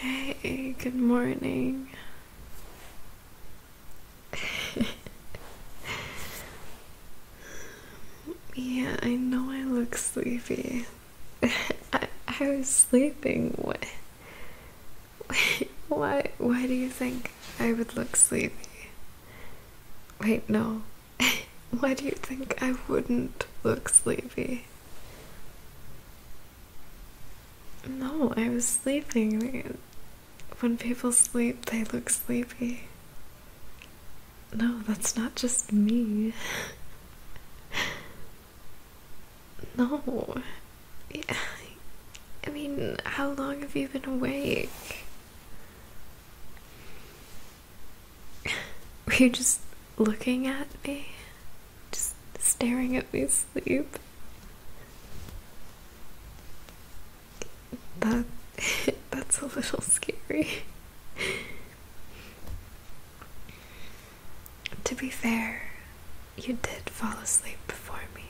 Hey, good morning. yeah, I know I look sleepy. I, I was sleeping. What? Why? Why do you think I would look sleepy? Wait, no. Why do you think I wouldn't look sleepy? No, I was sleeping. When people sleep, they look sleepy. No, that's not just me. no. Yeah. I mean, how long have you been awake? Were you just looking at me? Just staring at me sleep? That that's a little scary. to be fair, you did fall asleep before me.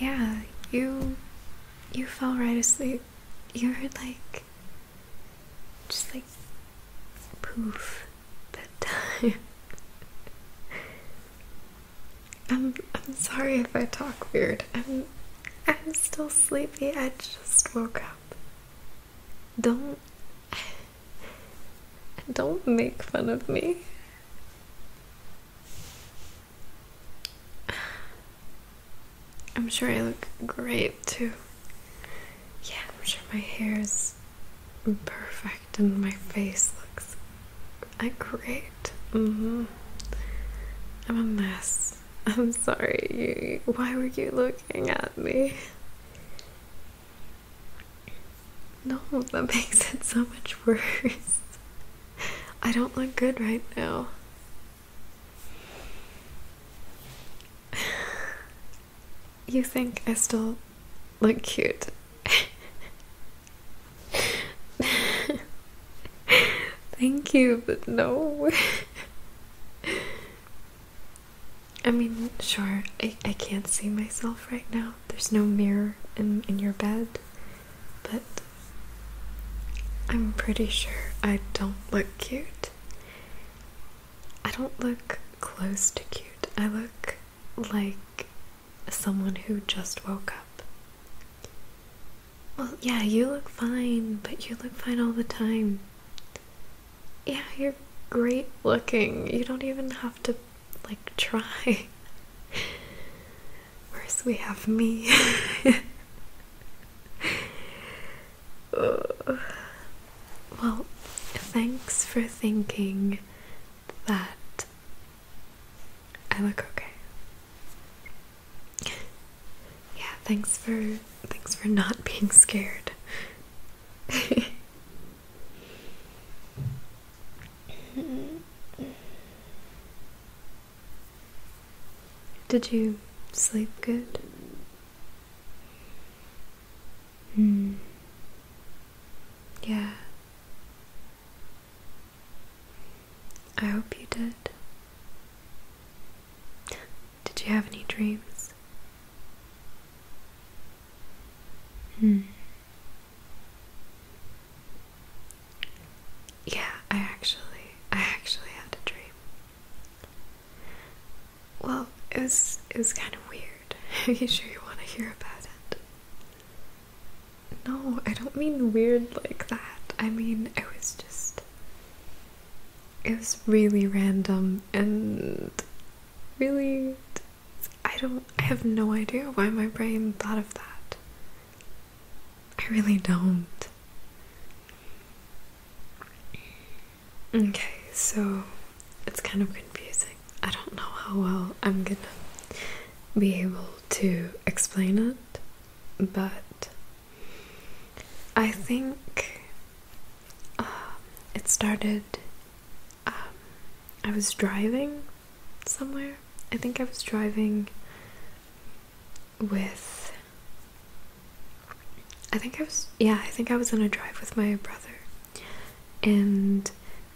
Yeah, you you fell right asleep. You were like just like poof bedtime. I'm I'm sorry if I talk weird. I'm I'm still sleepy. I just woke up. Don't don't make fun of me. I'm sure I look great too. Yeah, I'm sure my hair is perfect and my face looks great. Mm-hmm. I'm a mess. I'm sorry. Why were you looking at me? No, that makes it so much worse. I don't look good right now you think I still look cute. Thank you, but no. I mean, sure, I, I can't see myself right now. There's no mirror in, in your bed, but I'm pretty sure I don't look cute. I don't look close to cute. I look like someone who just woke up. Well, yeah, you look fine, but you look fine all the time. Yeah, you're great looking. You don't even have to, like, try. First, we have me. Uh, well, thanks for thinking that I look okay. Yeah, thanks for thanks for not being scared. Did you sleep good? Hmm. Yeah. I hope you did. Did you have any dreams? Hmm. Yeah, I actually, I actually had a dream. Well, it was it was kind of weird. Are you sure you want to hear about it? No, I don't mean weird like that. I mean, it was just it was really random and really I don't I have no idea why my brain thought of that. I really don't. Okay, so it's kind of confusing. I don't know how well I'm gonna be able to explain it, but I think um, it started. Um, I was driving somewhere. I think I was driving with I think I was, yeah, I think I was on a drive with my brother. And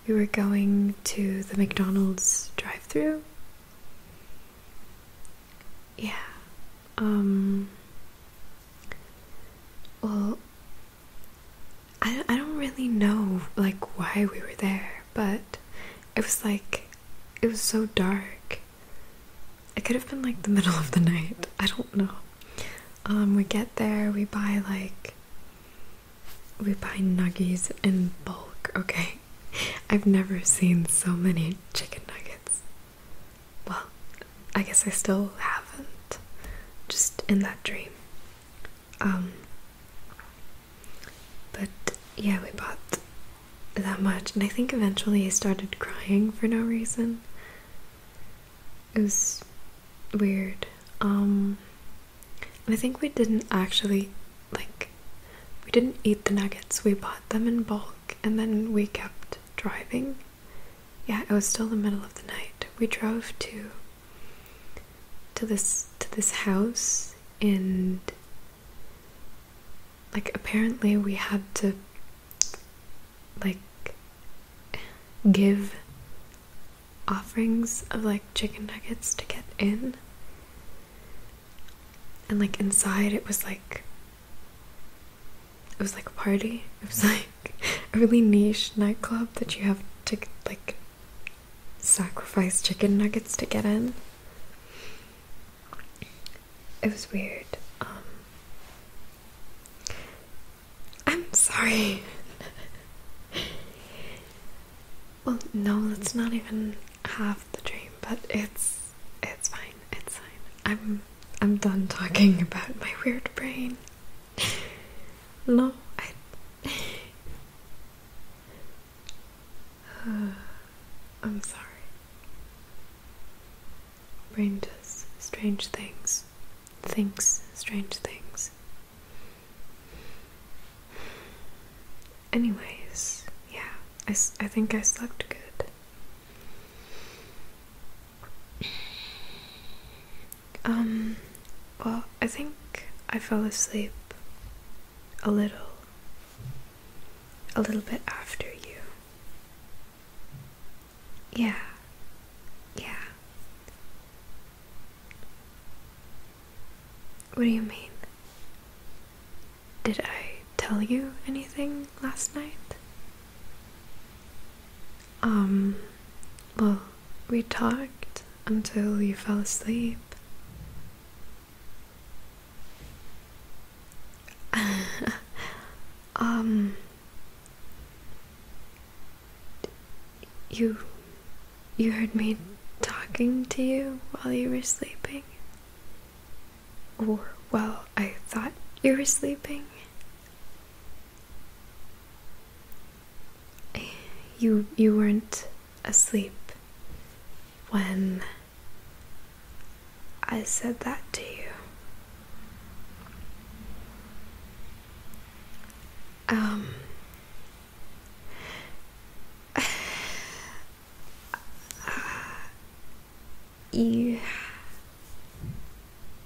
we were going to the McDonald's drive through. Yeah. Um, well, I, I don't really know, like, why we were there, but it was like, it was so dark. It could have been like the middle of the night. I don't know. Um, we get there, we buy like. We buy nuggies in bulk, okay? I've never seen so many chicken nuggets. Well, I guess I still haven't. Just in that dream. Um, but yeah, we bought that much. And I think eventually he started crying for no reason. It was weird. Um, and I think we didn't actually, like, we didn't eat the nuggets. We bought them in bulk and then we kept driving. Yeah, it was still the middle of the night. We drove to to this to this house and like apparently we had to like give offerings of like chicken nuggets to get in and like inside it was like it was like a party it was like a really niche nightclub that you have to like sacrifice chicken nuggets to get in it was weird. Um, I'm sorry. well, no, let's not even have the dream, but it's it's fine. It's fine. I'm I'm done talking about my weird brain. no, I. I'm sorry. Brain does strange things, thinks strange things. Anyways, yeah, I, I think I slept good. Um, well, I think I fell asleep a little, a little bit after you. Yeah. Yeah. What do you mean? Did I tell you anything last night? Um, well, we talked until you fell asleep. um you you heard me talking to you while you were sleeping or well i thought you were sleeping you you weren't asleep when I said that to you. Um, you,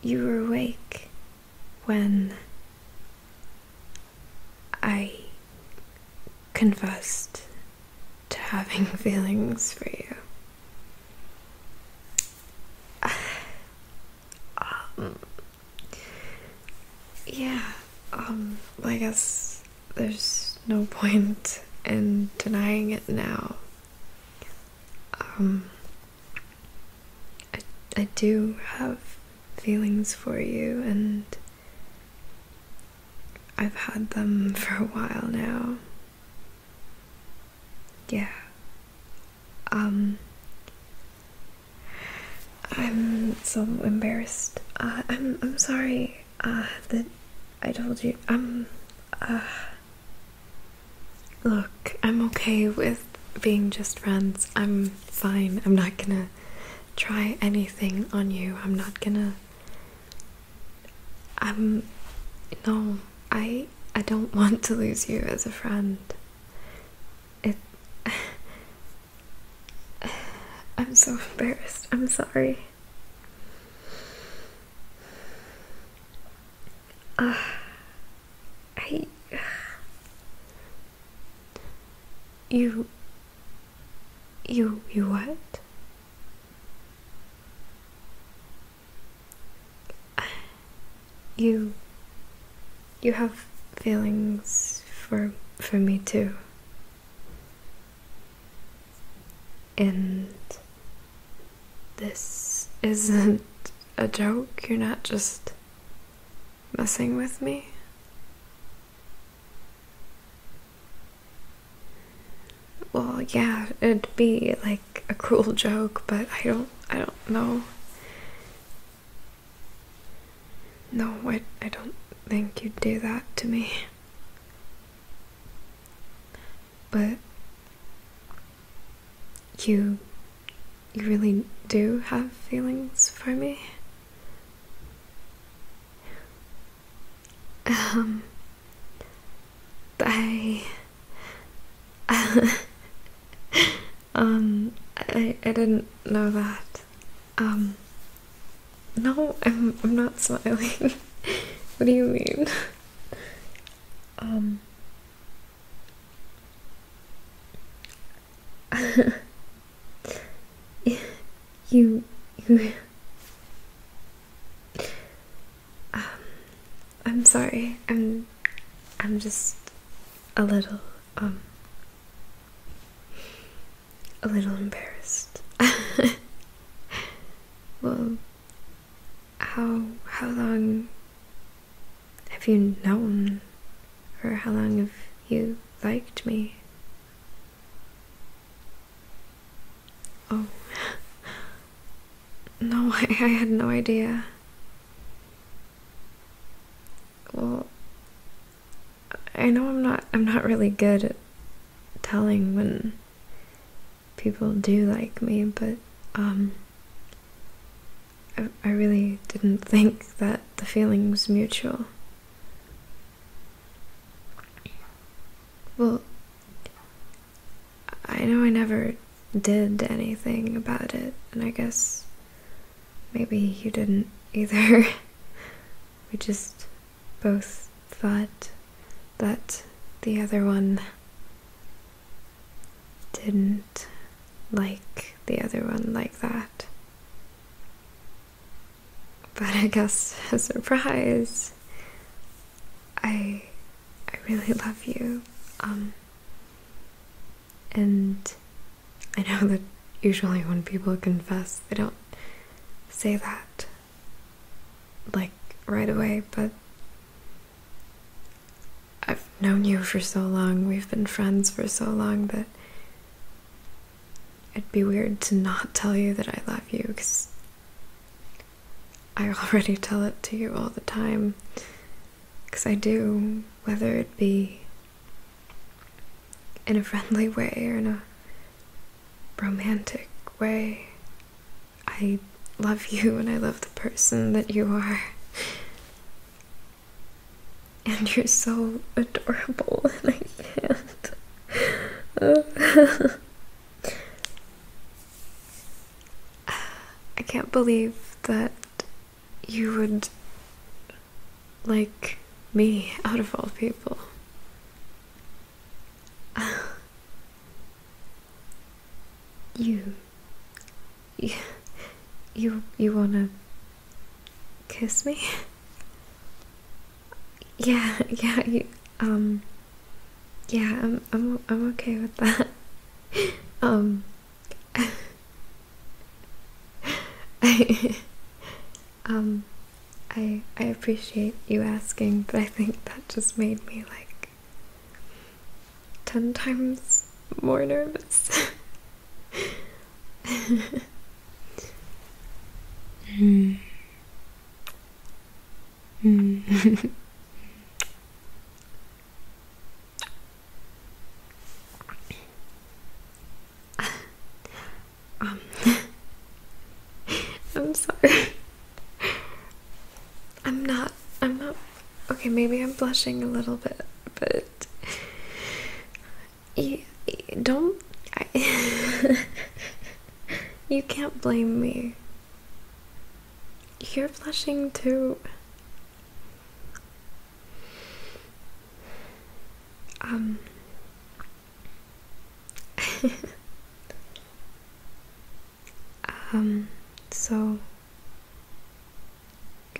you were awake when I confessed to having feelings for you. yeah, um, I guess there's no point in denying it now. Um, I, I do have feelings for you, and I've had them for a while now yeah um i'm so embarrassed uh, i'm i'm sorry uh, that i told you i'm um, uh look i'm okay with being just friends i'm fine i'm not gonna try anything on you i'm not gonna i'm no I I don't want to lose you as a friend. It I'm so embarrassed. I'm sorry. Uh, I you you you what? You you have feelings for for me too. And this isn't a joke. You're not just messing with me well, yeah, it'd be like a cruel joke, but I don't, I don't know. No, I, I don't think you'd do that to me. But you, you really do have feelings for me. Um, I um I I didn't know that. Um no, I'm I'm not smiling. what do you mean? Um you you um, I'm sorry. I'm I'm just a little um a little embarrassed. well, how how long have you known or how long have you liked me? Oh. No, I, I had no idea. Well, I know I'm not I'm not really good at telling when people do like me, but um I, I really didn't think that the feeling was mutual. Well, I know I never did anything about it, and I guess maybe you didn't either. we just both thought that the other one didn't like the other one like that. But I guess, a surprise, I I really love you. Um, and I know that usually when people confess, they don't say that like right away, but I've known you for so long, we've been friends for so long that it'd be weird to not tell you that I love you because I already tell it to you all the time. Because I do, whether it be in a friendly way or in a romantic way. I love you and I love the person that you are. And you're so adorable, and I can't. I can't believe that you would like me out of all people. you, you, you, you wanna kiss me? yeah, yeah, you, um, yeah, I'm, I'm, I'm okay with that. um, I, um, I, I appreciate you asking, but I think that just made me like ten times more nervous. mm. Mm um, I'm sorry. I'm not. I'm not. Okay, maybe I'm blushing a little bit, but you don't. I, you can't blame me. You're blushing too. Um. um, so.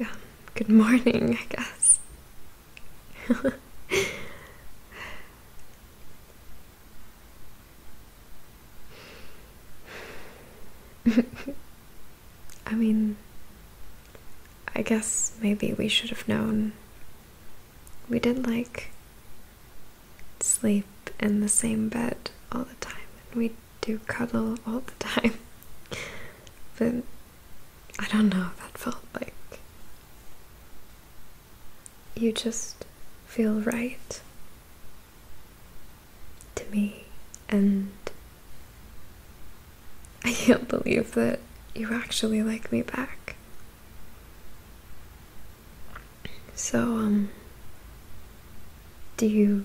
Um, good morning, I guess. I mean, I guess maybe we should have known. We did like sleep in the same bed all the time, and we do cuddle all the time. but I don't know, that felt like you just feel right to me, and I can't believe that you actually like me back. So, um, do you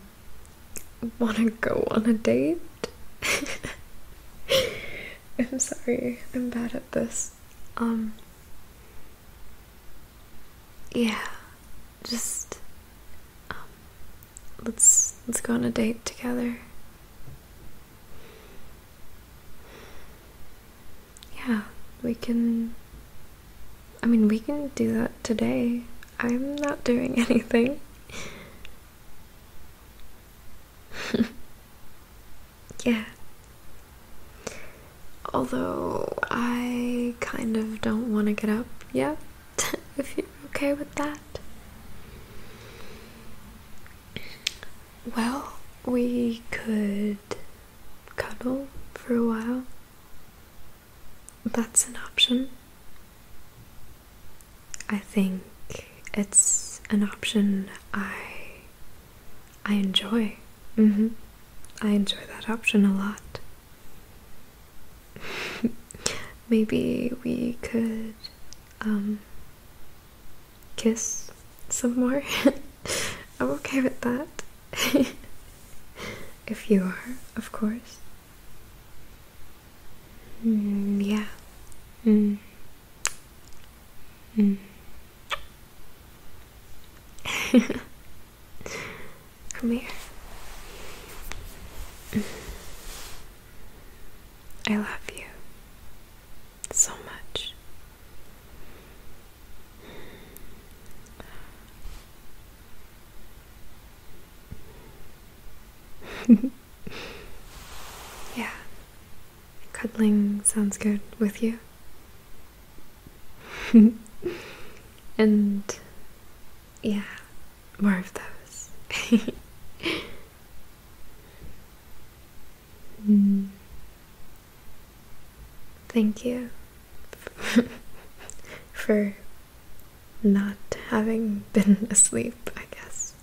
want to go on a date? I'm sorry, I'm bad at this. Um, yeah, just, um, Let's let's go on a date together. Yeah, we can I mean, we can do that today. I'm not doing anything. yeah. Although I kind of don't want to get up yet. if you're okay with that. Well, we could cuddle for a while. That's an option. I think it's an option I I enjoy. Mm-hmm. I enjoy that option a lot. Maybe we could um, kiss some more. I'm okay with that. if you are, of course. Mm, yeah. Mm. Mm. Come here. I love you so much. yeah, cuddling sounds good with you. and yeah, more of those. Hmm. Thank you for not having been asleep, I guess.